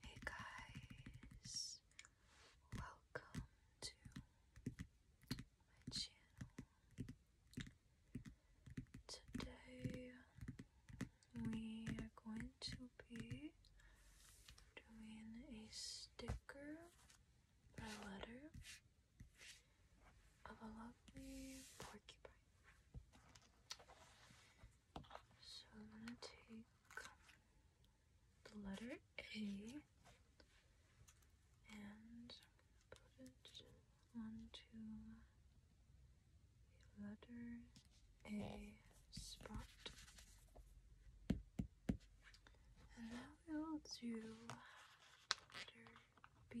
Hey guys, welcome to my channel. Today we are going to be doing a sticker by letter of a lovely porcupine. So I'm gonna take the letter A and put it onto the letter A spot. And now we'll do letter B.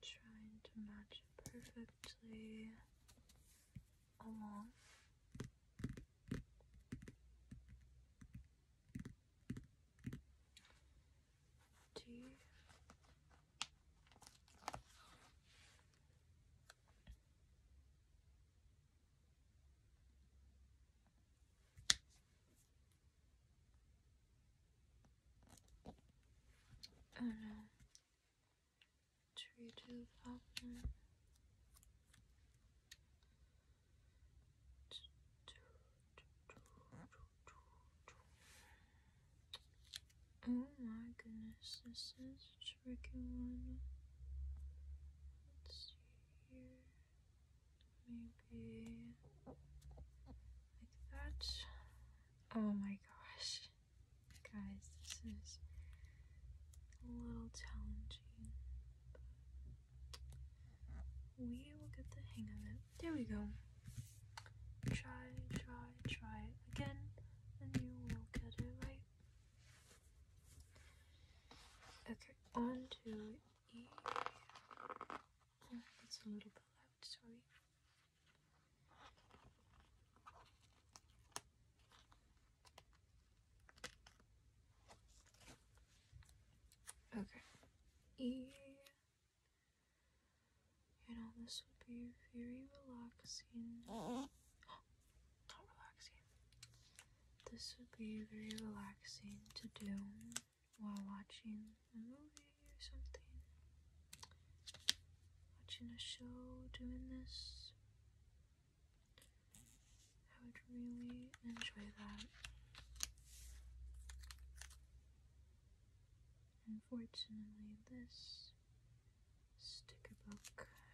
Trying to match perfectly along. D Oh no. Three, two, five, nine. Oh my goodness, this is tricky one. Let's see Maybe like that. Oh my gosh. Guys, this is a little challenging. we will get the hang of it. There we go. Try, try, try again and you will get it right. Okay, on to E. that's a little bit loud, sorry. Okay. E and all this would be very relaxing. Not relaxing. This would be very relaxing to do while watching a movie or something. Watching a show, doing this. I would really enjoy that. Unfortunately, this sticker book.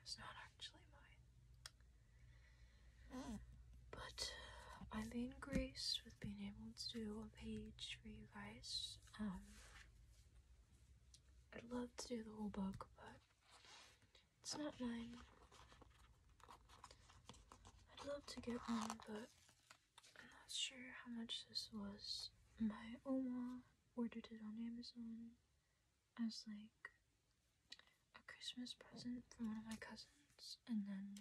It's not actually mine. Mm. But I'm uh, being graced with being able to do a page for you guys. Um, I'd love to do the whole book, but it's not mine. I'd love to get one, but I'm not sure how much this was. My Oma ordered it on Amazon as like a Christmas present from one of my cousins, and then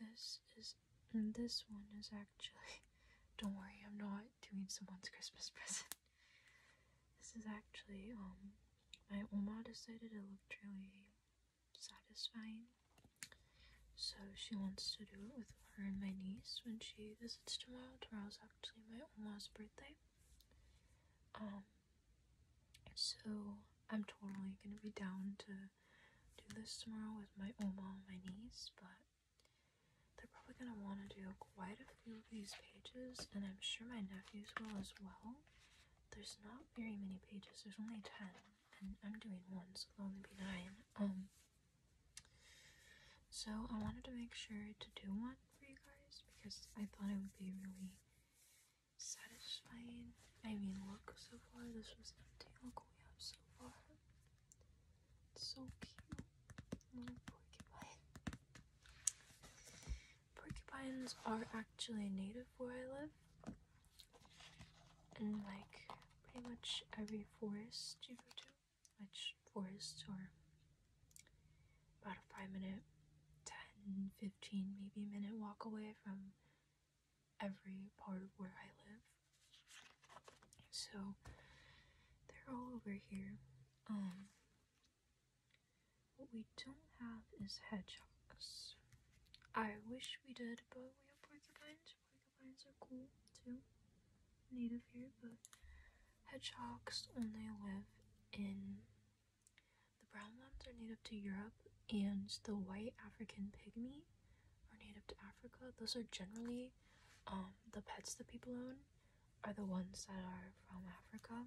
this is and this one is actually. Don't worry, I'm not doing someone's Christmas present. This is actually um my oma decided it looked really satisfying, so she wants to do it with her and my niece when she visits tomorrow. Tomorrow's actually my uma's birthday. Um, so I'm totally gonna be down to do this tomorrow with my oma and my niece, but they're probably gonna want to do quite a few of these pages, and I'm sure my nephews will as well. There's not very many pages, there's only 10, and I'm doing one, so there'll only be 9. Um, so I wanted to make sure to do one for you guys because I thought it would be really satisfying. I mean, look so far, this was the Look what we have so far. It's so cute. Little porcupine. Porcupines are actually native where I live. And like pretty much every forest you go to, which forests are about a five minute, fifteen, maybe minute walk away from every part of where I live. So they're all over here. Um, what we don't have is hedgehogs. I wish we did, but we have porcupines. Porcupines are cool too native here, but hedgehogs only live in the brown ones are native to Europe, and the white African pygmy are native to Africa. Those are generally um, the pets that people own are the ones that are from Africa.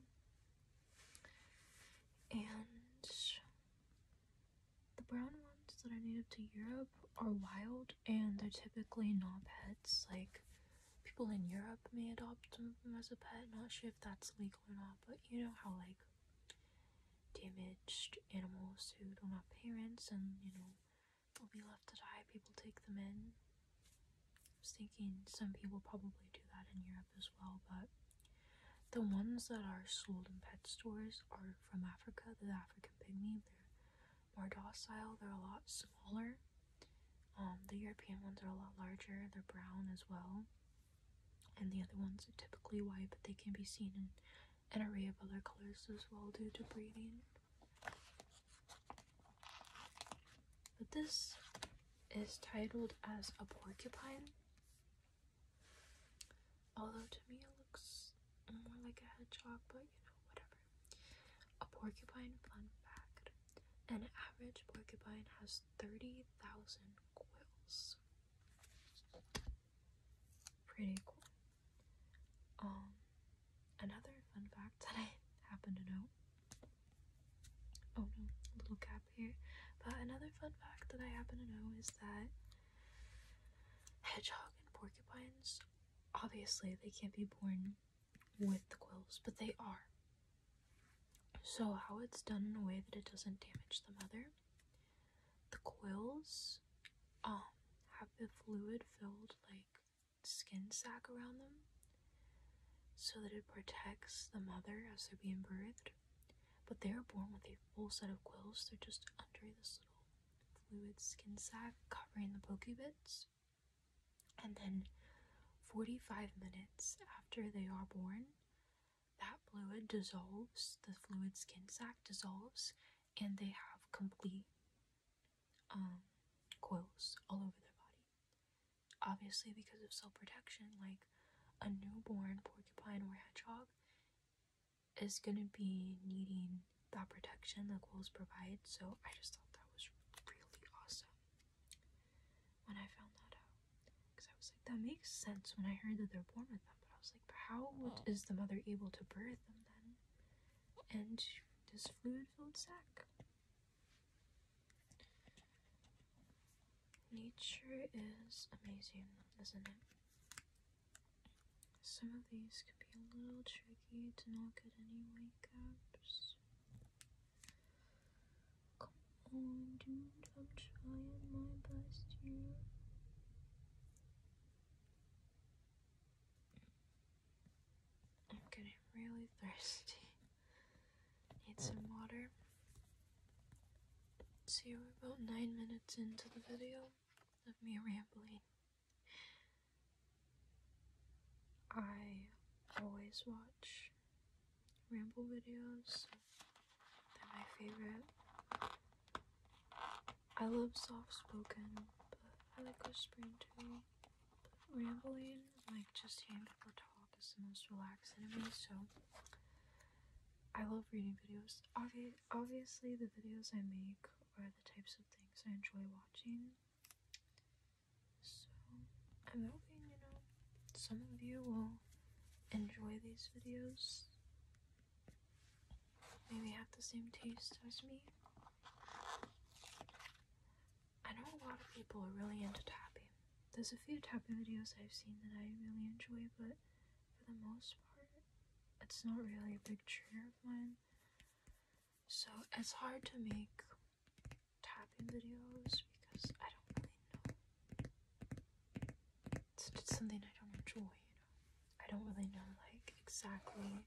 And the brown ones that are native to Europe are wild and they're typically not pets. Like people in Europe may adopt them as a pet. Not sure if that's legal or not, but you know how like damaged animals who don't have parents and you know will be left to die. People take them in. I was thinking some people probably do that in Europe as well, but the ones that are sold in pet stores are from Africa. The African pygmy, they're more docile. They're a lot smaller um, the European ones are a lot larger, they're brown as well, and the other ones are typically white, but they can be seen in an array of other colors as well due to breeding. But this is titled as a porcupine, although to me it looks more like a hedgehog, but you know, whatever. A porcupine fun fact. An average porcupine has 30,000 quills. Pretty cool. Um, another fun fact that I happen to know. Oh no, little gap here. But another fun fact that I happen to know is that hedgehog and porcupines, obviously, they can't be born with the quills, but they are. So, how it's done in a way that it doesn't damage the mother. The quills um, have the fluid filled like skin sac around them so that it protects the mother as they're being birthed. But they are born with a full set of quills, they're just under this little fluid skin sac covering the pokey bits. And then 45 minutes after they are born, that fluid dissolves, the fluid skin sac dissolves, and they have complete um, coils all over their body. Obviously, because of self protection, like a newborn porcupine or hedgehog is going to be needing the protection the ghouls provide, so I just thought that was really awesome when I found that out. Because I was like, that makes sense when I heard that they're born with them, but I was like, but how oh. is the mother able to birth them then? And this fluid filled sac. Nature is amazing, isn't it? Some of these can be a little tricky to not get anyway. Come on, dude, I'm trying my best here. I'm getting really thirsty. Need some water. So we're about nine minutes into the video of me rambling. I always watch ramble videos. They're my favorite. I love soft spoken, but I like whispering too. But rambling, like just hearing people talk, is the most relaxing to me, so I love reading videos. Obvi- obviously, the videos I make are the types of things I enjoy watching. So I'm hoping, you know, some of you will enjoy these videos. Maybe have the same taste as me. I know a lot of people are really into tapping. There's a few tapping videos I've seen that I really enjoy, but for the most part, it's not really a big trigger of mine. So it's hard to make tapping videos because I don't really know. It's just something I don't enjoy, you know. I don't really know, like, exactly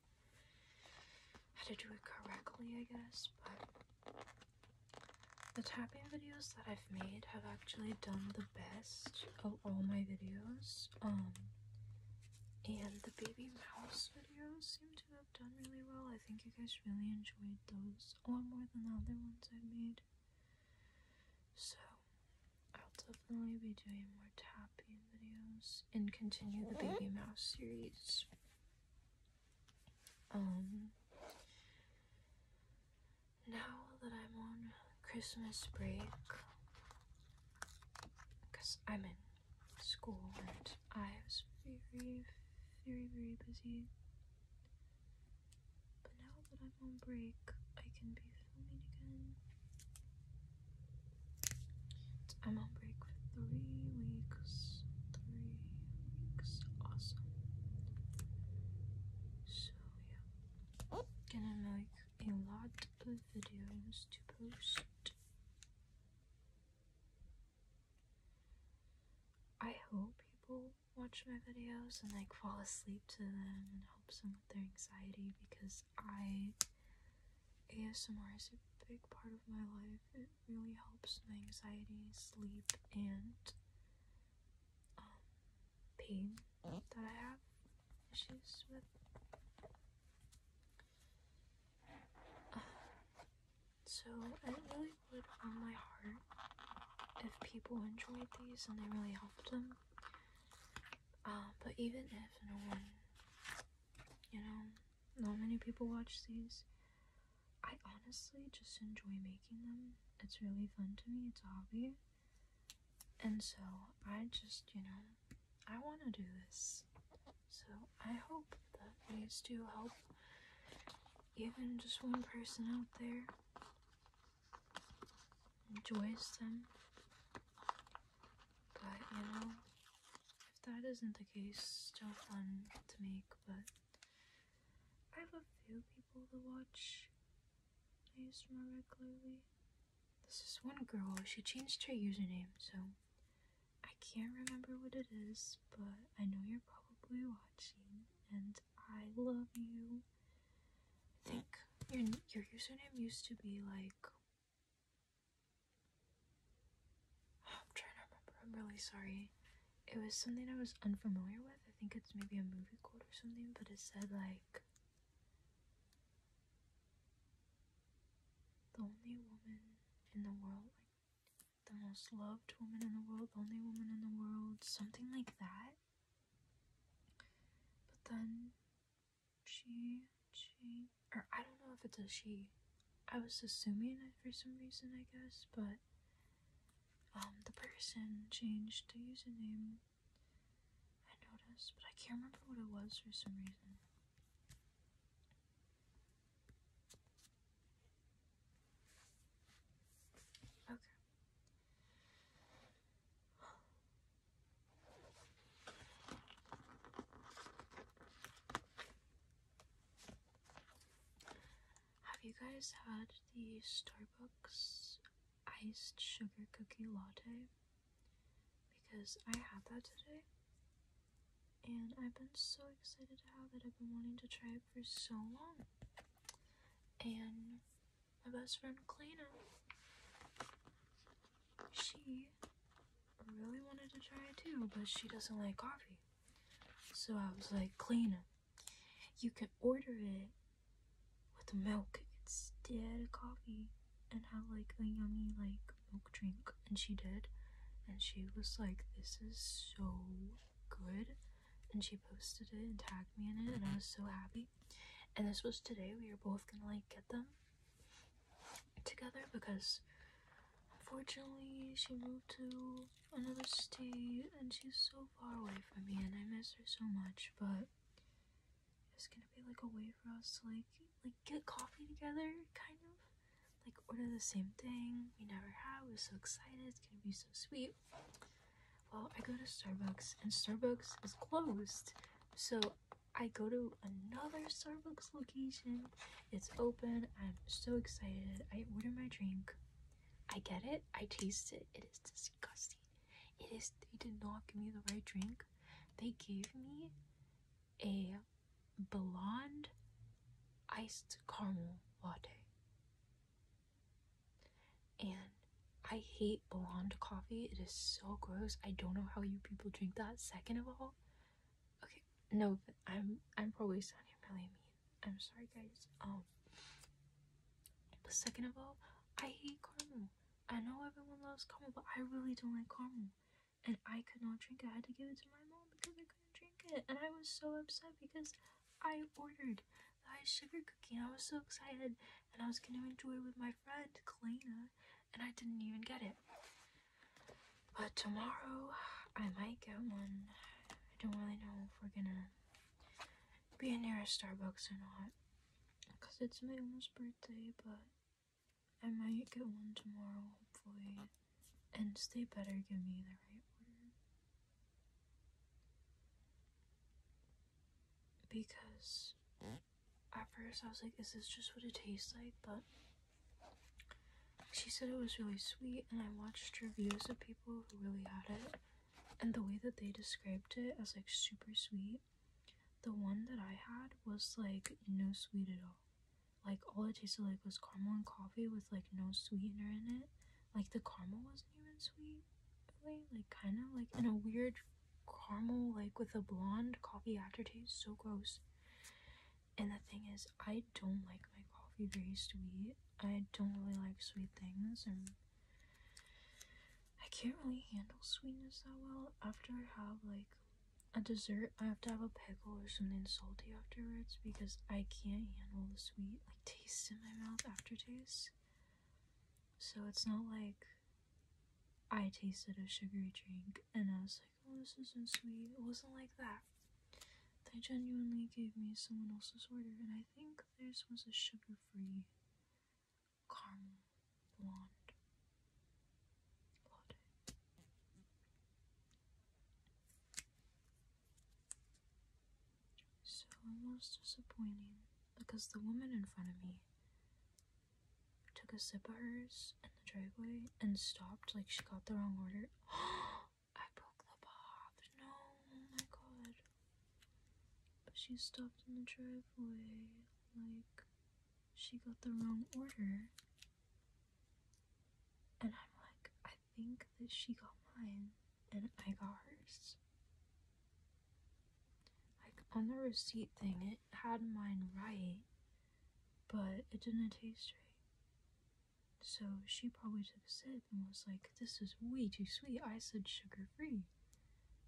how to do it correctly, I guess, but the tapping videos that I've made have actually done the best of all my videos. Um, and the baby mouse videos seem to have done really well. I think you guys really enjoyed those a lot more than the other ones I've made. So, I'll definitely be doing more tapping videos and continue the Baby Mouse series. Um, now that I'm on Christmas break, because I'm in school and I was very, very, very busy. But now that I'm on break, I can be filming again. I'm on break for three weeks. Three weeks. Awesome. So, yeah. Gonna make a lot of videos to post. I hope people watch my videos and like fall asleep to them and help them with their anxiety because I ASMR is a big part of my life. It really helps my anxiety, sleep, and um, pain that I have issues with so I really would from my heart if people enjoyed these and they really helped them. Uh, but even if no one, you know, not many people watch these, I honestly just enjoy making them. It's really fun to me, it's a hobby. And so I just, you know, I want to do this. So I hope that these do help even just one person out there enjoys them. But you know, if that isn't the case, still fun to make, but I have a few people to watch I these more regularly. This is one girl, she changed her username, so I can't remember what it is, but I know you're probably watching, and I love you. I think your your username used to be like. I'm trying to remember. I'm really sorry. It was something I was unfamiliar with. I think it's maybe a movie quote or something, but it said like. The only woman in the world like the most loved woman in the world, only woman in the world, something like that. But then she, she, or I don't know if it's a she. I was assuming it for some reason, I guess, but um, the person changed the username. I noticed, but I can't remember what it was for some reason. Okay. Have you guys had the Starbucks iced sugar cookie latte? Because I had that today and I've been so excited to have it. I've been wanting to try it for so long. And my best friend Clayna, she really wanted to try it too, but she doesn't like coffee. So I was like, Clayna, you can order it with milk instead of coffee and have like a yummy like milk drink, and she did. And she was like, This is so good. And she posted it and tagged me in it, and I was so happy. And this was today. We were both gonna like get them together because unfortunately she moved to another state and she's so far away from me, and I miss her so much. But it's gonna be like a way for us to like like get coffee together, kind of. Like order the same thing we never have. We're so excited. It's gonna be so sweet. Well, I go to Starbucks and Starbucks is closed. So I go to another Starbucks location. It's open. I'm so excited. I order my drink. I get it. I taste it. It is disgusting. It is. They did not give me the right drink. They gave me a blonde iced caramel latte. And I hate blonde coffee. It is so gross. I don't know how you people drink that. Second of all, okay, no, I'm I'm probably sounding really mean. I'm sorry, guys. Um, but second of all, I hate caramel. I know everyone loves caramel, but I really don't like caramel and I could not drink I had to give it to my mom because I couldn't drink it. And I was so upset because I ordered the high sugar cookie and I was so excited and I was going to enjoy it with my friend, Kalina, and I didn't even get it. But tomorrow I might get one. I don't really know if we're gonna be near a Starbucks or not because it's my mom's birthday, but I might get one tomorrow, hopefully. And they better give me the right one. Because at first I was like, is this just what it tastes like? But she said it was really sweet, and I watched reviews of people who really had it. And the way that they described it as like super sweet, the one that I had was like no sweet at all. Like all it tasted like was caramel and coffee with like no sweetener in it. Like the caramel wasn't even sweet, Like kind of like in a weird caramel like with a blonde coffee aftertaste. So gross. And the thing is, I don't like my coffee very sweet. I don't really like sweet things, and I can't really handle sweetness that well. After I have like a dessert, I have to have a pickle or something salty afterwards because I can't handle the sweet like taste in my mouth aftertaste. So it's not like I tasted a sugary drink and I was like, oh, this isn't sweet. It wasn't like that. They genuinely gave me someone else's order, and I think theirs was a sugar free caramel blonde latte. So almost disappointing because the woman in front of me took a sip of hers in the driveway and stopped like she got the wrong order. I broke the bob. No, oh my god. But she stopped in the driveway like she got the wrong order and I'm like, I think that she got mine and I got hers. Like on the receipt thing, it had mine right, but it didn't taste right. So she probably took a sip and was like, This is way too sweet. I said sugar free.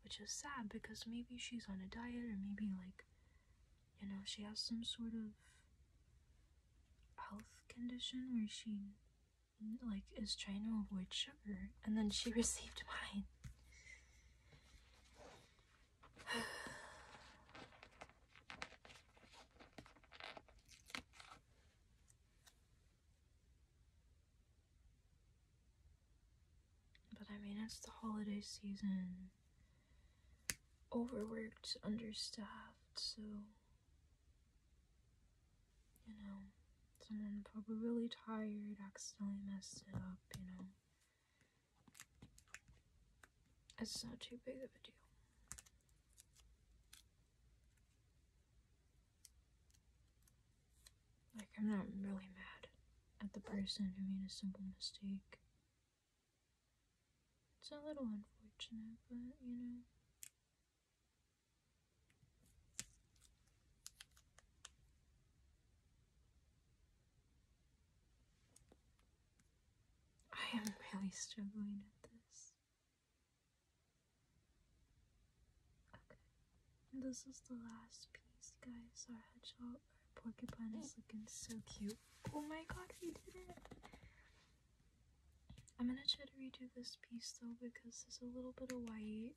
Which is sad because maybe she's on a diet or maybe like you know, she has some sort of health condition where she like is trying to avoid sugar and then she received mine. but I mean, it's the holiday season overworked, understaffed, so you know, someone probably really tired, accidentally messed it up, you know. It's not too big of a deal. Like, I'm not really mad at the person who made a simple mistake. It's a little unfortunate, but you know. I am really struggling at this. Okay. This is the last piece, guys. Our hedgehog, our porcupine is looking so cute. Oh my god, we did it! I'm gonna try to redo this piece though because there's a little bit of white.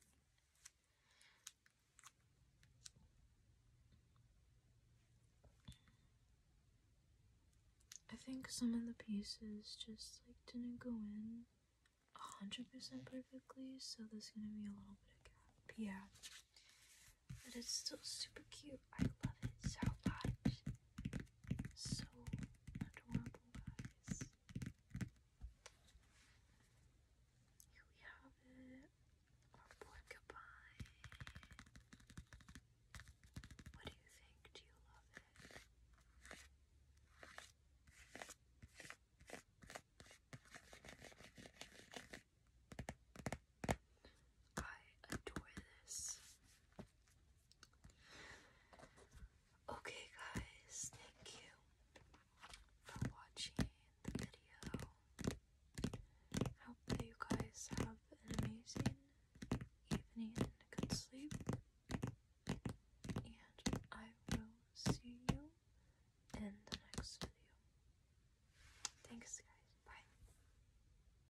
I think some of the pieces just like didn't go in 100% perfectly, so there's gonna be a little bit of gap. Yeah. But it's still super cute. I love it so much so adorable, guys. Here we have it. Our porcupine. What do you think? Do you love it? I adore this. Okay, guys, thank you for watching the video. I hope that you guys have an amazing evening and good sleep. And I will see you in the next video. Thanks, guys. Bye.